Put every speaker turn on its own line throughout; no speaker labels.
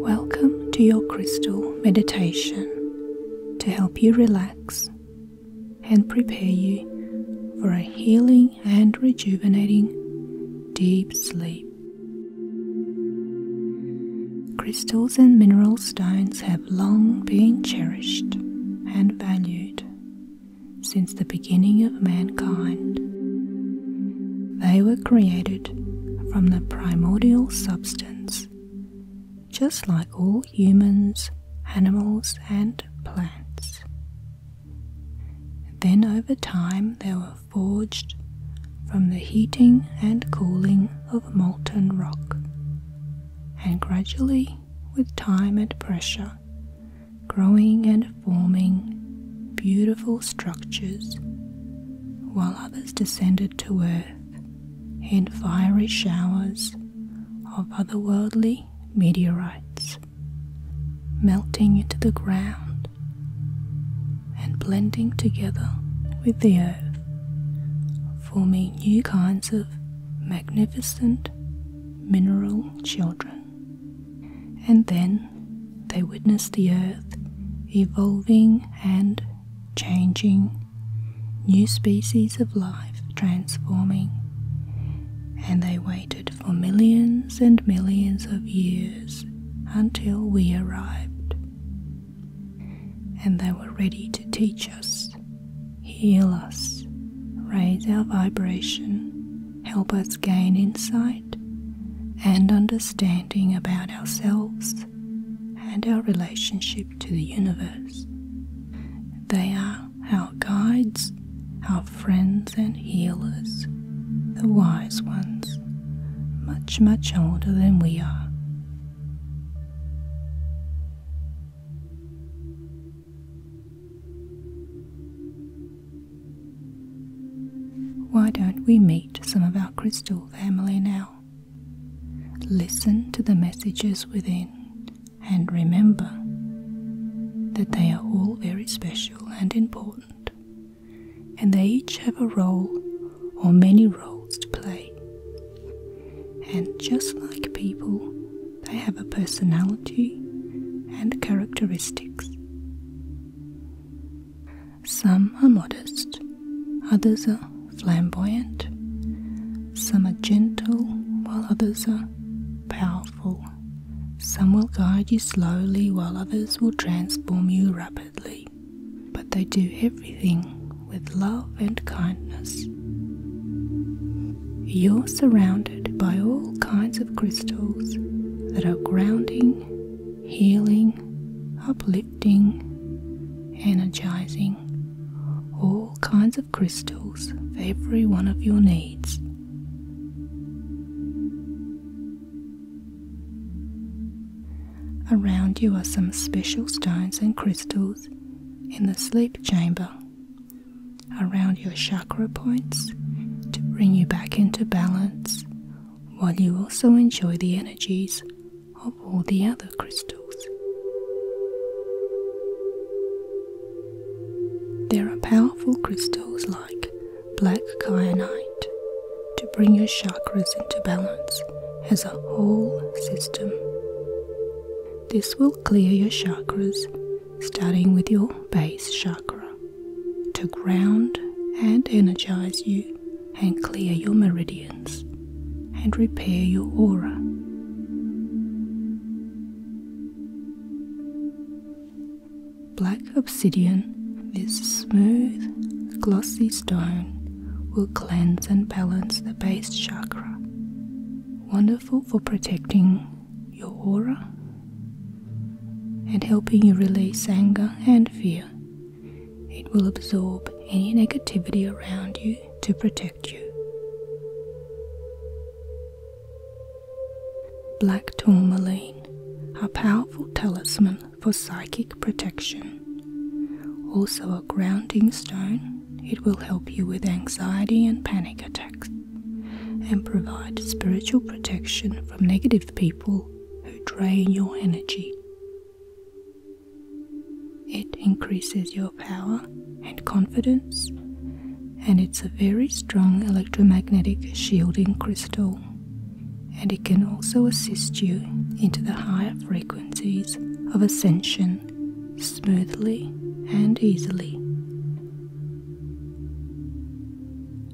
Welcome to your crystal meditation to help you relax and prepare you for a healing and rejuvenating deep sleep. Crystals and mineral stones have long been cherished and valued since the beginning of mankind. They were created from the primordial substance, just like all humans, animals, and plants. Then over time, there were forged from the heating and cooling of molten rock, and gradually, with time and pressure, growing and forming beautiful structures, while others descended to earth in fiery showers of otherworldly meteorites melting into the ground and blending together with the earth, forming new kinds of magnificent mineral children. And then they witnessed the earth evolving and changing, new species of life transforming. And they waited for millions and millions of years until we arrived and they were ready to teach us, heal us, raise our vibration, help us gain insight and understanding about ourselves and our relationship to the universe. They are our guides, our friends and healers, the wise ones, much, much older than we are, why don't we meet some of our crystal family now? Listen to the messages within and remember that they are all very special and important and they each have a role or many roles to play. And just like people, they have a personality and characteristics. Some are modest, others are flamboyant, some are gentle, while others are powerful. Some will guide you slowly, while others will transform you rapidly but they do everything with love and kindness. You're surrounded by all kinds of
crystals
that are grounding, healing, uplifting, energizing. All kinds of crystals for every one of your needs. Around you are some special stones and crystals in the sleep chamber. Around your chakra points to bring you back into balance, while you also enjoy the energies of all the other crystals. There are powerful crystals like black kyanite to bring your chakras into balance as a whole system. This will clear your chakras, starting with your base chakra, to ground and energize you and clear your meridians and repair your aura. Black obsidian is smooth, glossy stone will cleanse and balance the base chakra. Wonderful for protecting your aura and helping you release anger and fear. It will absorb any negativity around you to protect you. Black tourmaline, a powerful talisman for psychic protection. Also, a grounding stone, it will help you with anxiety and panic attacks and provide spiritual protection from negative people who drain your energy. It increases your power and confidence, and it's a very strong electromagnetic shielding crystal. And it can also assist you into the higher frequency frequencies of ascension smoothly and easily.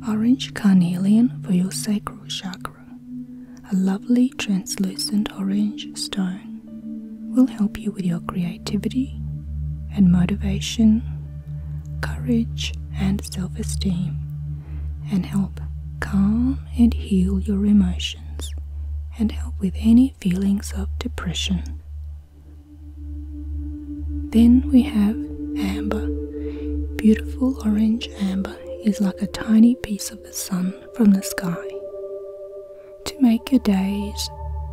Orange carnelian for your sacral chakra, a lovely translucent orange stone, will help you with your creativity and motivation, courage and self esteem, and help calm and heal your emotions and help with any feelings of depression. Then we have amber. Beautiful orange amber is like a tiny piece of the sun from the sky to make your days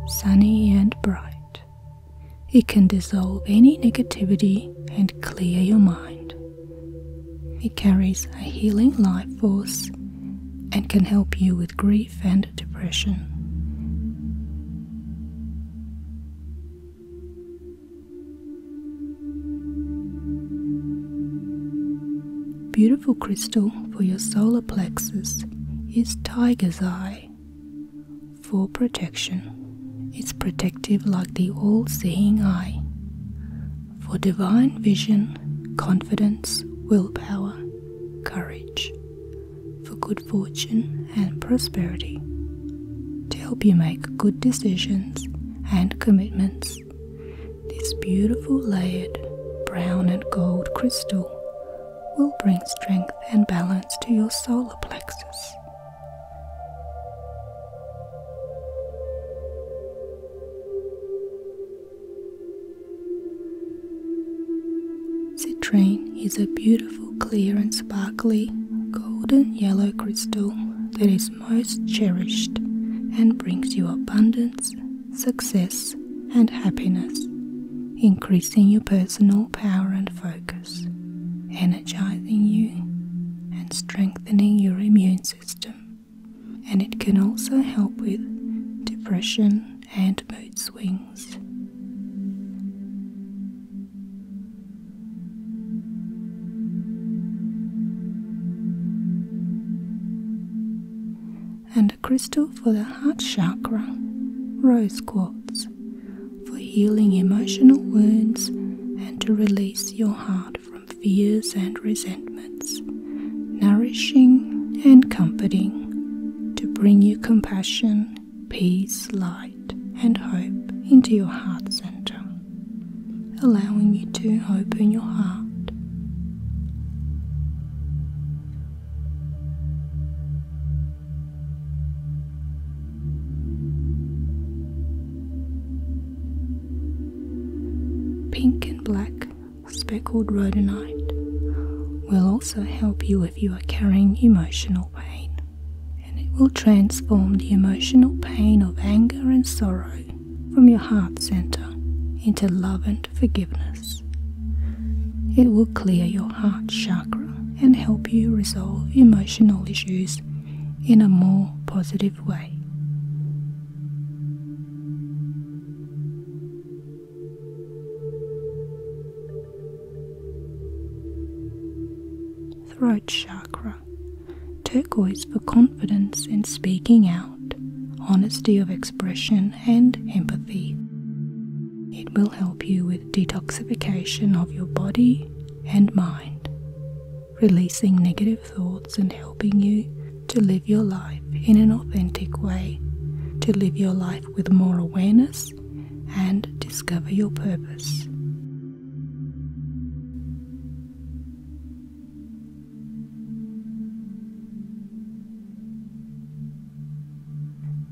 sunny and bright. It can dissolve any negativity and clear your mind. It carries a healing life force and can help you with grief and depression. Beautiful crystal for your solar plexus is Tiger's Eye for protection. It's protective like the all seeing eye for divine vision, confidence, willpower, courage, for good fortune and prosperity, to help you make good decisions and commitments. This beautiful layered brown and gold crystal will bring strength and balance to your solar plexus. Citrine is a beautiful, clear, and sparkly golden yellow crystal that is most cherished and brings you abundance, success, and happiness, increasing your personal power and focus, energizing you, and strengthening your immune system and it can also help with depression and mood swings. And a crystal for the heart chakra, rose quartz, for healing emotional wounds and to release your heart from fears and resentments, nourishing and comforting, to bring you compassion, peace, light, and hope into your heart center, allowing you to open your heart. Pink and black speckled rhodonite will also help you if you are carrying emotional pain, and it will transform the emotional pain of anger and sorrow from your heart center into love and forgiveness. It will clear your heart chakra and help you resolve emotional issues in a more positive way. Throat chakra, turquoise for confidence in speaking out, honesty of expression, and empathy. It will help you with detoxification of your body and mind, releasing negative thoughts and helping you to live your life in an authentic way, to live your life with more awareness and discover your purpose.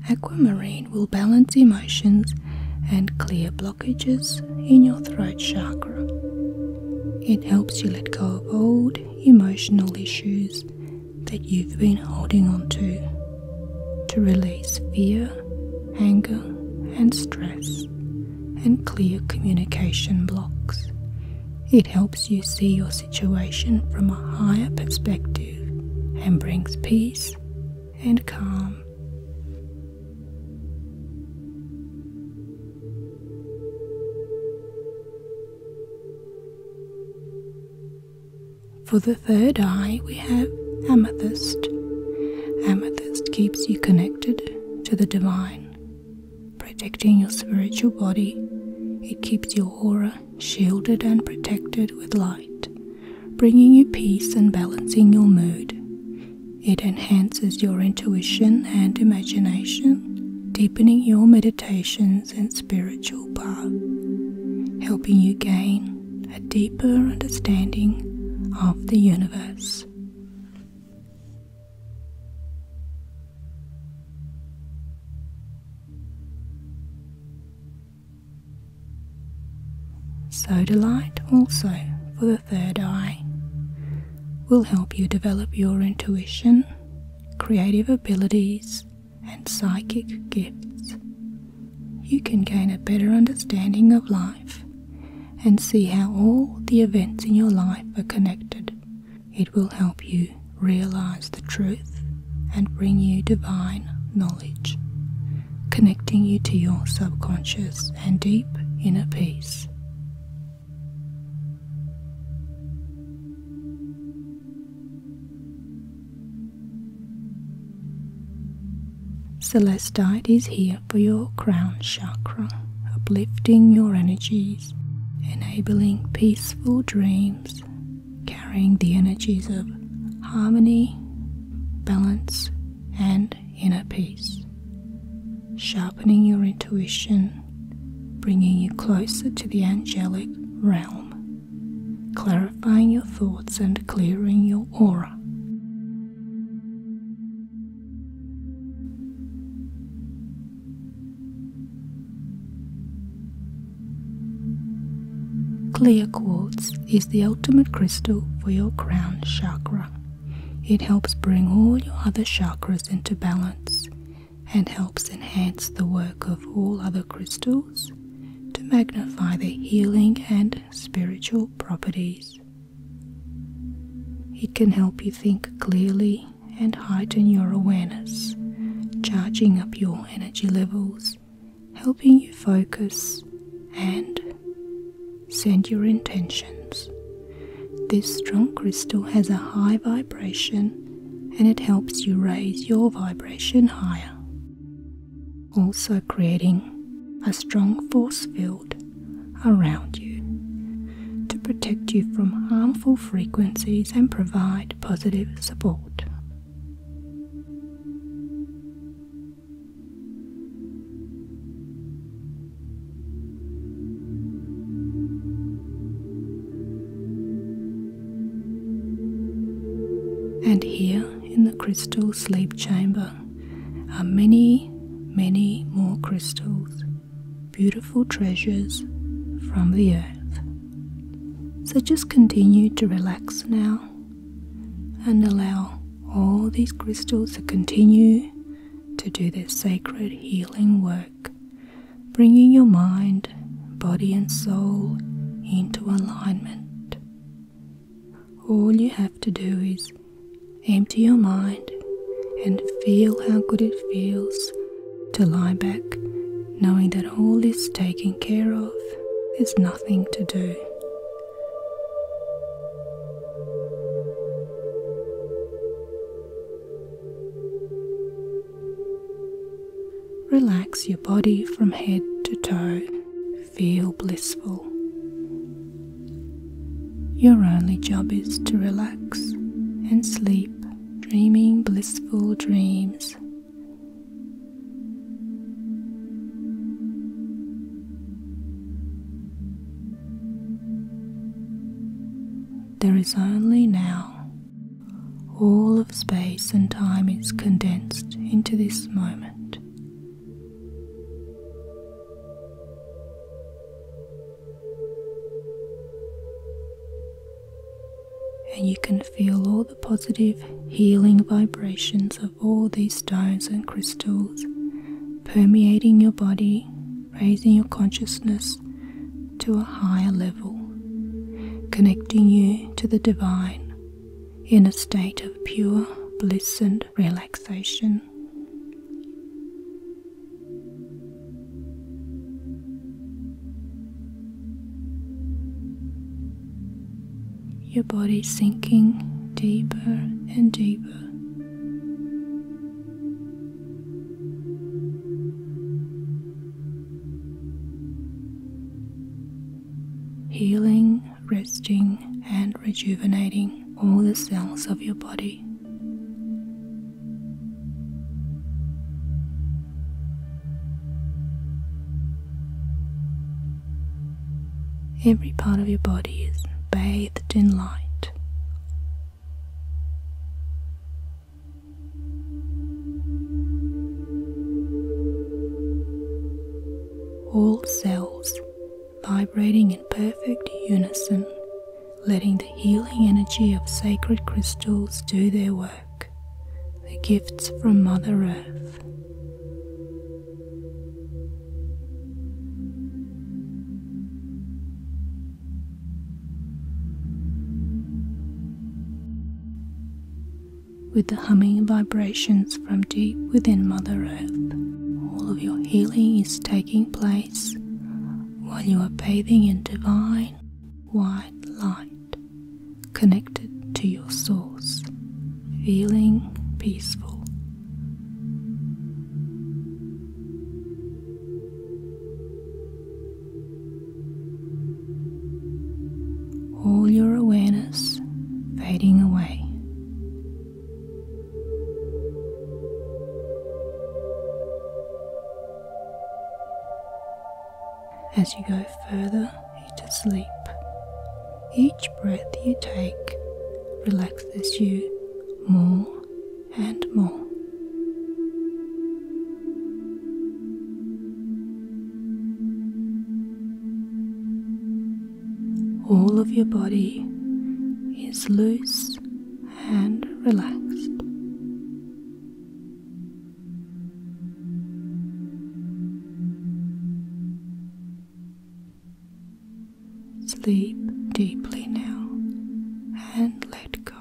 Aquamarine will balance emotions and clear blockages in your throat chakra. It helps you let go of old emotional issues that you've been holding on to to release fear, anger, and stress, and clear communication blocks. It helps you see your situation from a higher perspective and brings peace and calm. For the third eye, we have amethyst. Amethyst keeps you connected to the divine, protecting your spiritual body. It keeps your aura shielded and protected with light, bringing you peace and balancing your mood. It enhances your intuition and imagination deepening your meditations and spiritual path, helping you gain a deeper understanding of the universe. So, delight also for the third eye, will help you develop your intuition creative abilities, and psychic gifts. You can gain a better understanding of life and see how all the events in your life are connected. It will help you realize the truth and bring you divine knowledge, connecting you to your subconscious and deep inner peace. Celestite is here for your crown chakra, uplifting your energies, enabling peaceful dreams, carrying the energies of harmony, balance, and inner peace, sharpening your intuition bringing you closer to the angelic realm, clarifying your thoughts and clearing your aura. Clear quartz is the ultimate crystal for your crown chakra. It helps bring all your other chakras into balance and helps enhance the work of all other crystals to magnify their healing and spiritual properties. It can help you think clearly and heighten your awareness, charging up your energy levels, helping you focus and send your intentions. This strong crystal has a high vibration and it helps you raise your vibration higher, also creating a strong force field around you to protect you from harmful frequencies and provide positive support. And here in the crystal sleep chamber are many, many more crystals, beautiful treasures from the earth. So just continue to relax now and allow all these crystals to continue to do their sacred healing work bringing your mind, body, and soul into alignment. All you have to do is empty your mind and feel how good it feels to lie back, knowing that all is taken care of, there's nothing to do. Relax your body from head to toe. Feel blissful. Your only job is to relax and sleep, dreaming blissful dreams. There is only now all of space and time is condensed into this moment. And you can feel all the positive healing vibrations of all these stones and crystals permeating your body, raising your consciousness to a higher level, connecting you to the divine in a state of pure bliss and relaxation. Your body sinking deeper and deeper healing, resting, and rejuvenating all the cells of your body. Every part of your body is bathed in light. All cells vibrating in perfect unison, letting the healing energy of sacred crystals do their work, the gifts from Mother Earth. With the humming vibrations from deep within Mother Earth, all of your healing is taking place while you are bathing in divine white light, connected to your source, feeling peaceful all your awareness fading away. As you go further into sleep, each breath you take relaxes you more and more. All of your body is loose and relaxed. Sleep deeply now
and let go.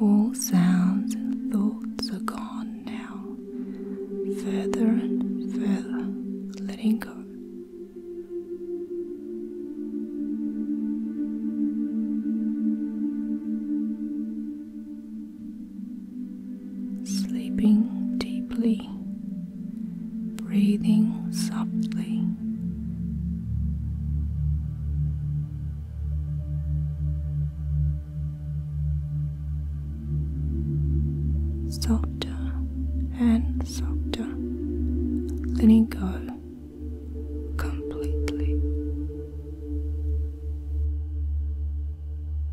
All sounds and thoughts are gone now, further and further, letting go sleeping deeply, breathing softly. Softer and softer, letting go. Completely.